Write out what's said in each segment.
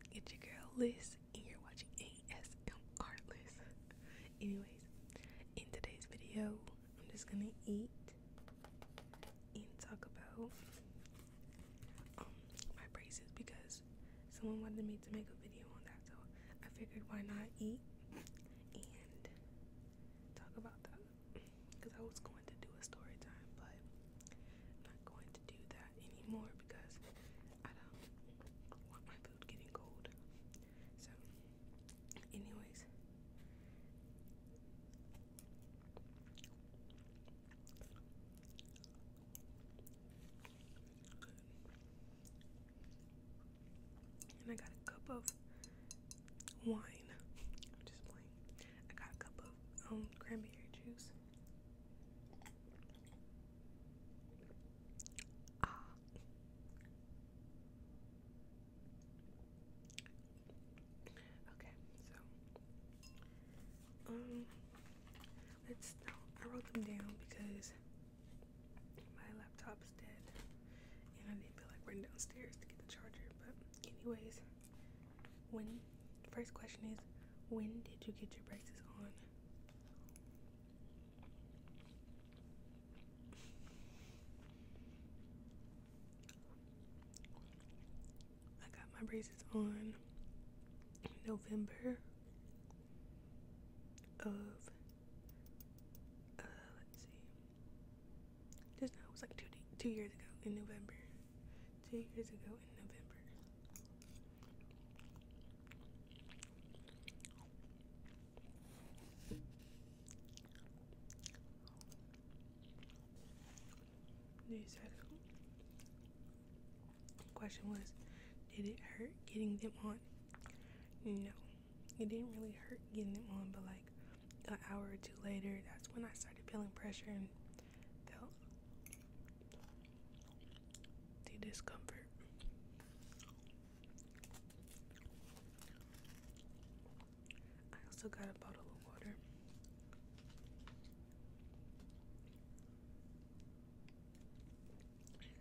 Hey, it's your girl Liz, and you're watching ASMR Liz. Anyways, in today's video, I'm just gonna eat and talk about um my braces because someone wanted me to make a video on that, so I figured why not eat and talk about that because I was going to do a story time, but I'm not going to do that anymore because I don't want my food getting cold. So, anyways, And I got a cup of wine. just playing. I got a cup of um, cranberry juice. Ah. Okay, so um let's I wrote them down because my laptop's dead and I didn't feel like running downstairs to get the charger. But anyways, when first question is when did you get your braces on? I got my braces on November of uh, let's see. Just now it was like two two years ago in November two years ago in November. They said question was, did it hurt getting them on? No. It didn't really hurt getting them on, but like an hour or two later, that's when I started feeling pressure and they the discomfort I also got a bottle of water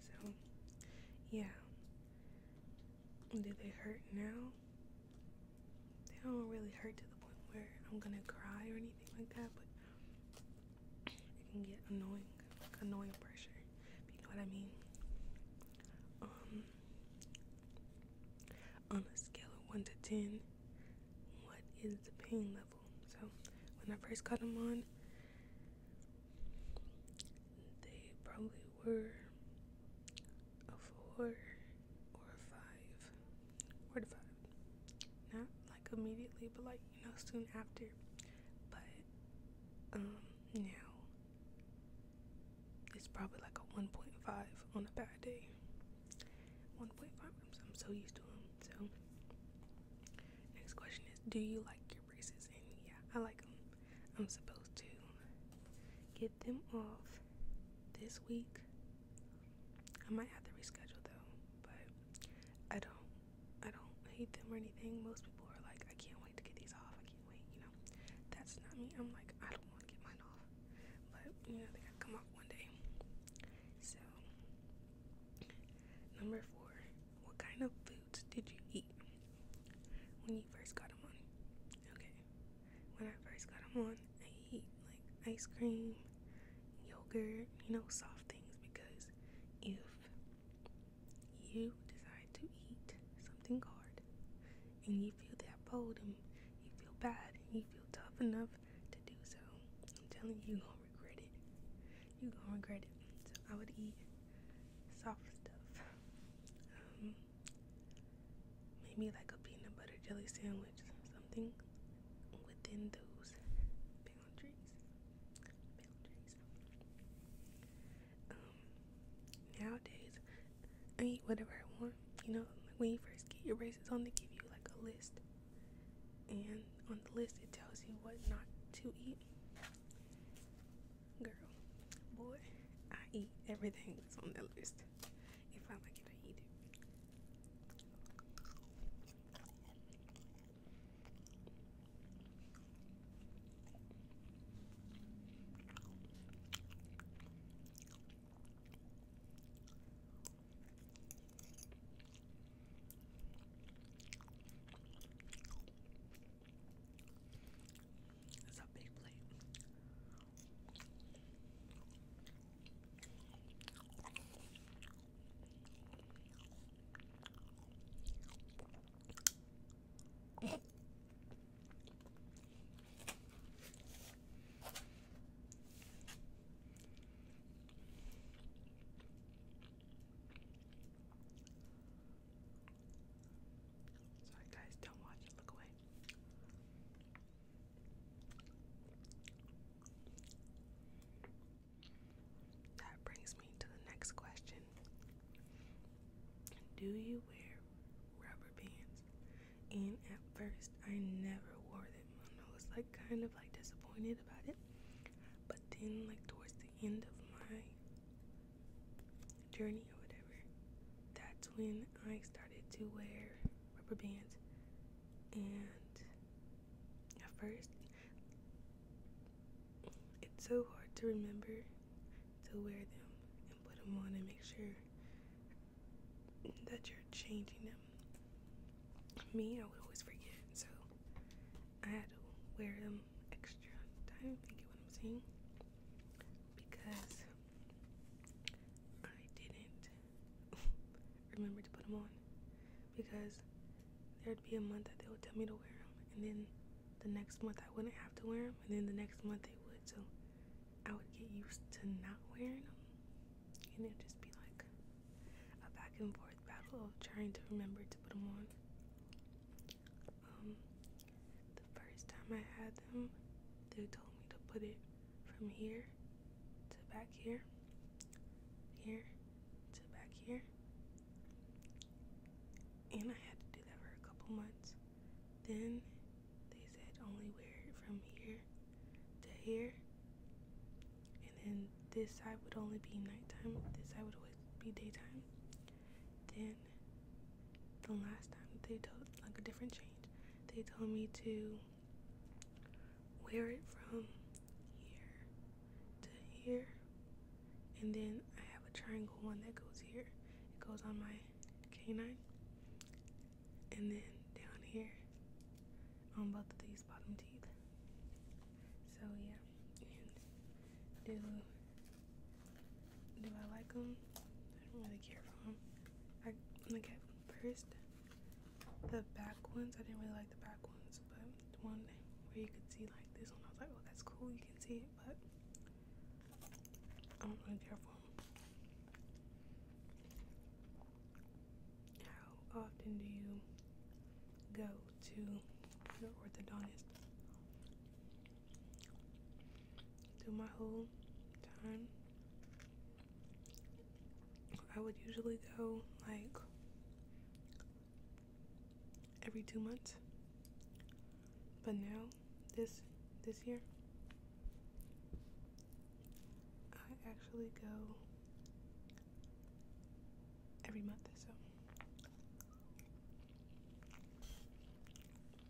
so yeah do they hurt now they don't really hurt to the point where I'm gonna cry or anything like that, but it can get annoying, like annoying pressure, you know what I mean? Um, on a scale of 1 to 10, what is the pain level? So, when I first got them on, they probably were a 4 or a five or a five not like immediately but like you know soon after but um now it's probably like a 1.5 on a bad day 1.5 am so used to them so next question is do you like your braces and yeah I like them I'm supposed to get them off this week. I might have to reschedule though, but I don't I don't hate them or anything. Most people are like, I can't wait to get these off. I can't wait, you know. That's not me. I'm like, I don't want to get mine off. But you know, they gotta come off one day. So number four, what kind of foods did you eat when you first got them on? Okay when I first got them on, I eat like ice cream, yogurt, you know, soft things because if you decide to eat something hard and you feel that bold and you feel bad and you feel tough enough to do so, I'm telling you, you're gonna regret it. You're gonna regret it. So I would eat soft stuff. Um, maybe like a peanut butter jelly sandwich, something within those boundaries. Um, nowadays, I eat whatever I want. You know, when you first get your braces on, they give you like a list, and on the list it tells you what not to eat. Girl, boy, I eat everything that's on the list. If I like it, I eat it. It's a big plate. Sorry guys, don't watch it, look away. That brings me to the next question. Do you wear rubber bands? And at first, I never wore them, I was like kind of like disappointed about it. But then, like towards the end of my journey, whatever, that's when I started to wear rubber bands. And at first, it's so hard to remember to wear them and put them on and make sure that you're changing them. Me, I would always forget, so I had to wear them extra time. Do You get what I'm saying? Because I didn't remember to put them on because there'd be a month that they would tell me to wear them, and then the next month I wouldn't have to wear them, and then the next month they would. So I would get used to not wearing them, and it'd just be like a back and forth battle of trying to remember to put them on. Um, the first time I had them, they told me to put it from here to back here, here to back here. And I had to do that for a couple months. Then they said only wear it from here to here. And then this side would only be nighttime, this side would always be daytime. Then the last time they told like a different change, they told me to wear it from here to here. And then I have a triangle one that goes here. It goes on my canine. And then down here on both of these bottom teeth. So yeah, and do do I like them? I don't really care for them. I, look at first, the back ones, I didn't really like the back ones, but the one where you could see like this one, I was like, oh, that's cool, you can see it, but I don't really care for them. How often do you go to your orthodontist? through my whole time. I would usually go like every two months. But now this this year I actually go every month so.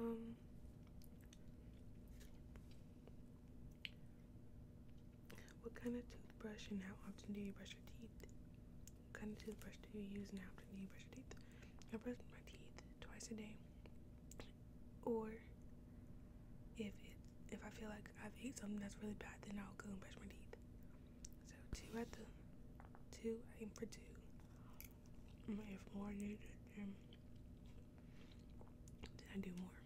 Um, what kind of toothbrush and how often do you brush your teeth? kind of toothbrush do you use and how brush your teeth? I brush my teeth twice a day, or if it if I feel like I've eaten something that's really bad, then I'll go and brush my teeth. So two at the two, for two. If more needed, I do more.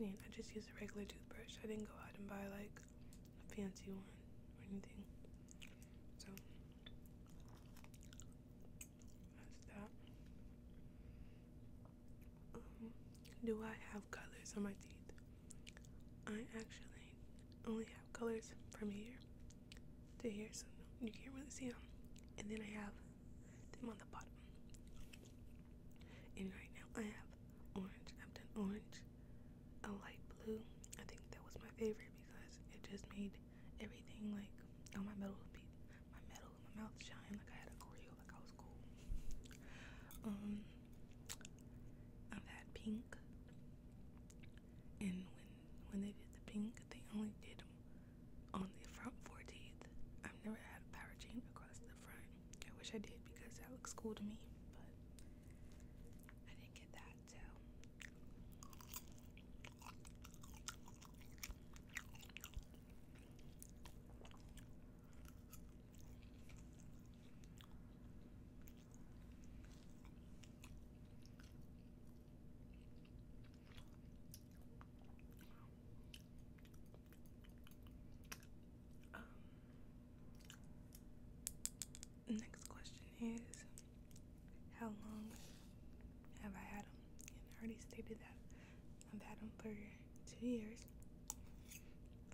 And I just use a regular toothbrush. I didn't go out and buy like a fancy one or anything. So that. Um, do I have colors on my teeth? I actually only have colors from here to here, so you can't really see them. And then I have them on the bottom. And right now I have orange. I've done orange, a light blue. I think that was my favorite because it just made everything like on oh, my metal my metal my mouth shine like I had a choreo like I was cool. Um I've had pink and when when they did the pink they only did on the front four teeth. I've never had a power chain across I wish I did because that looks cool to me, but I didn't get that, so. Um, next question is How long have I had them? And I already stated that I've had them for two years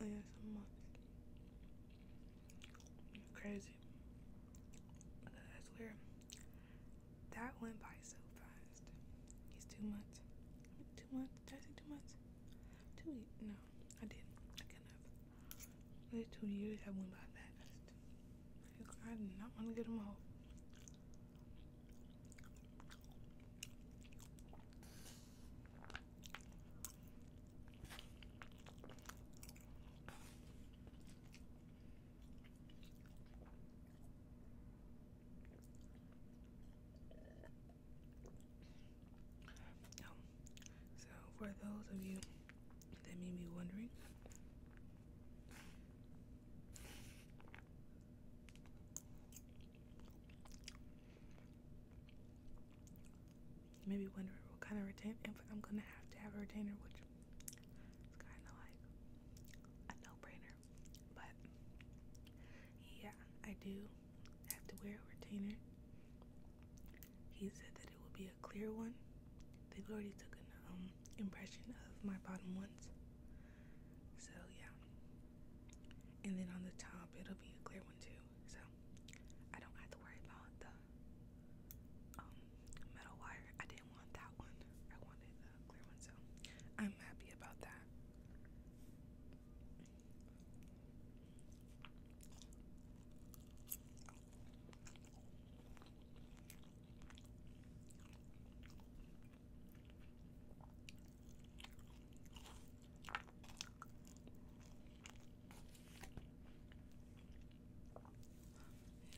oh, and some months. Crazy. I swear, that went by so fast. It's two months. Two months? Did I two months? Two years. No, I didn't. I could two years I went by that I did not want to get them all so for those of you that may be wondering, maybe may wondering what kind of retainer I'm gonna have to have a retainer, which is kind of like a no-brainer. But yeah, I do have to wear a retainer. He said that it will be a clear one. They've already took an um, impression of my bottom ones. So yeah. And then on the top, it'll be a clear one too. So I don't have to worry about the um, metal wire. I didn't want that one. I wanted the clear one. So I'm happy about that.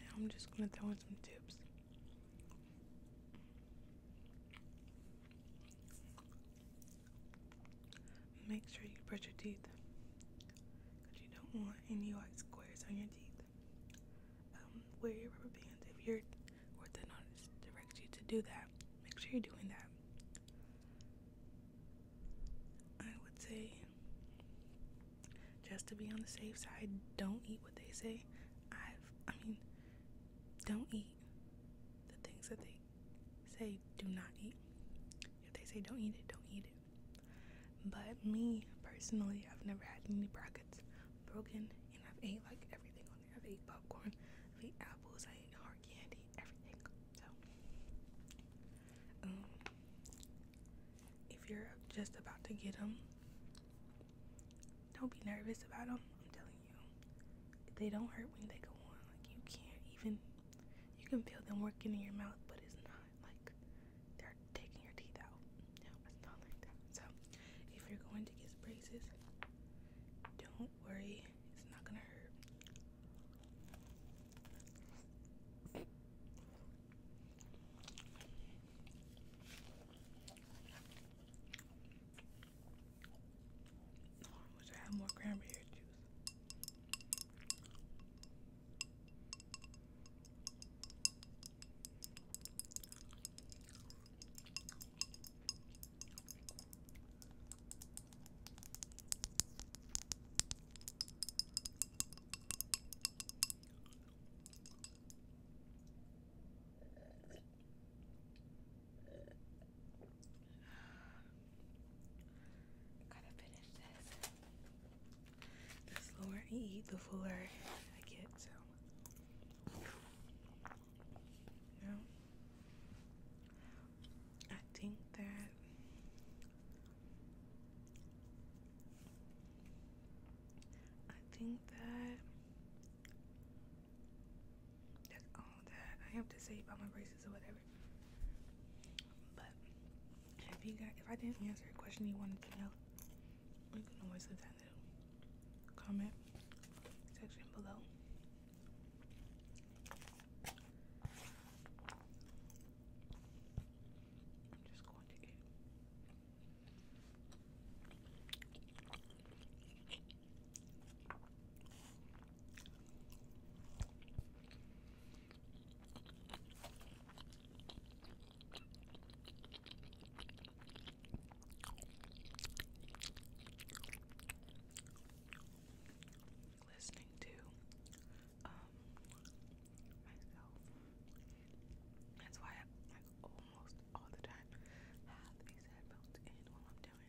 Now I'm just going to throw in some tips. Make sure you brush your teeth because you don't want any white squares on your teeth. Um, wear your rubber bands if your orthodontist directs you to do that. Make sure you're doing that. I would say, just to be on the safe side, don't eat what they say. I've, I mean, don't eat the things that they say do not eat. If they say don't eat it, don't eat it. But me personally, I've never had any brackets broken, and I've ate like everything on there. I've ate popcorn, I've ate apples, I ate hard candy, everything. So, um, if you're just about to get them, don't be nervous about them. I'm telling you, they don't hurt when they go on. Like you can't even, you can feel them working in your mouth, but it's not like they're taking your teeth out. No, it's not like that. So if you're going to get braces, don't worry, it's not gonna hurt. Oh, I wish I had more cranberry juice. Gotta finish this. The slower I eat, the fuller I get, so. I think that I think that that's all that I have to say about my braces or whatever. But if you got, if I didn't answer a question you wanted to know, you can always leave that in the comment section below. I'm just going to Listening to um, myself. That's why almost all the time have these headphones in while I'm doing it.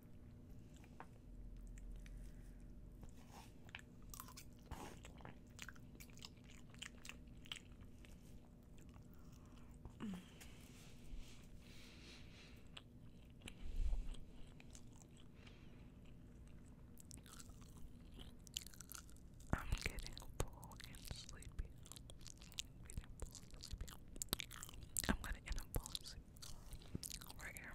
I'm getting full and sleepy. We did I'm gonna end right here.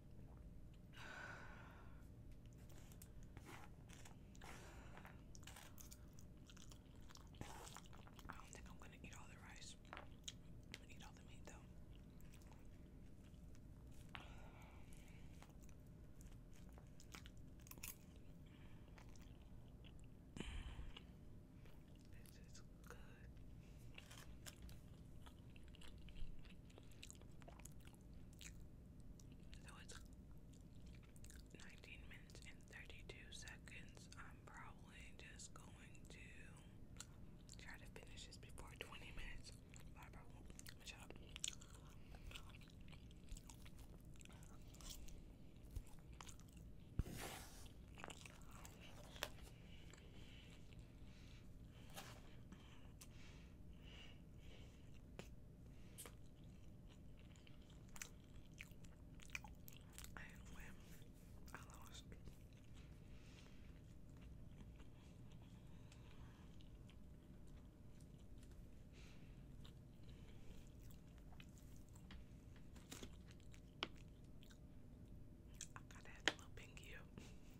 I don't think I'm gonna eat all the rice. I'm gonna eat all the meat though. This is good. So it's 19 minutes and 32 seconds. I'm probably just going to try to finish this before 20 minutes. Bye, bro. I'm shut I did win. I lost. I gotta have a little pinky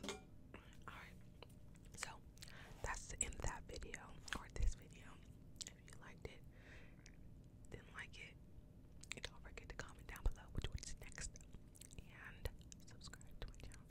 Alright, so that's the end of that video or this video. If you liked it, didn't like it, and don't forget to comment down below which one is next and subscribe to my channel.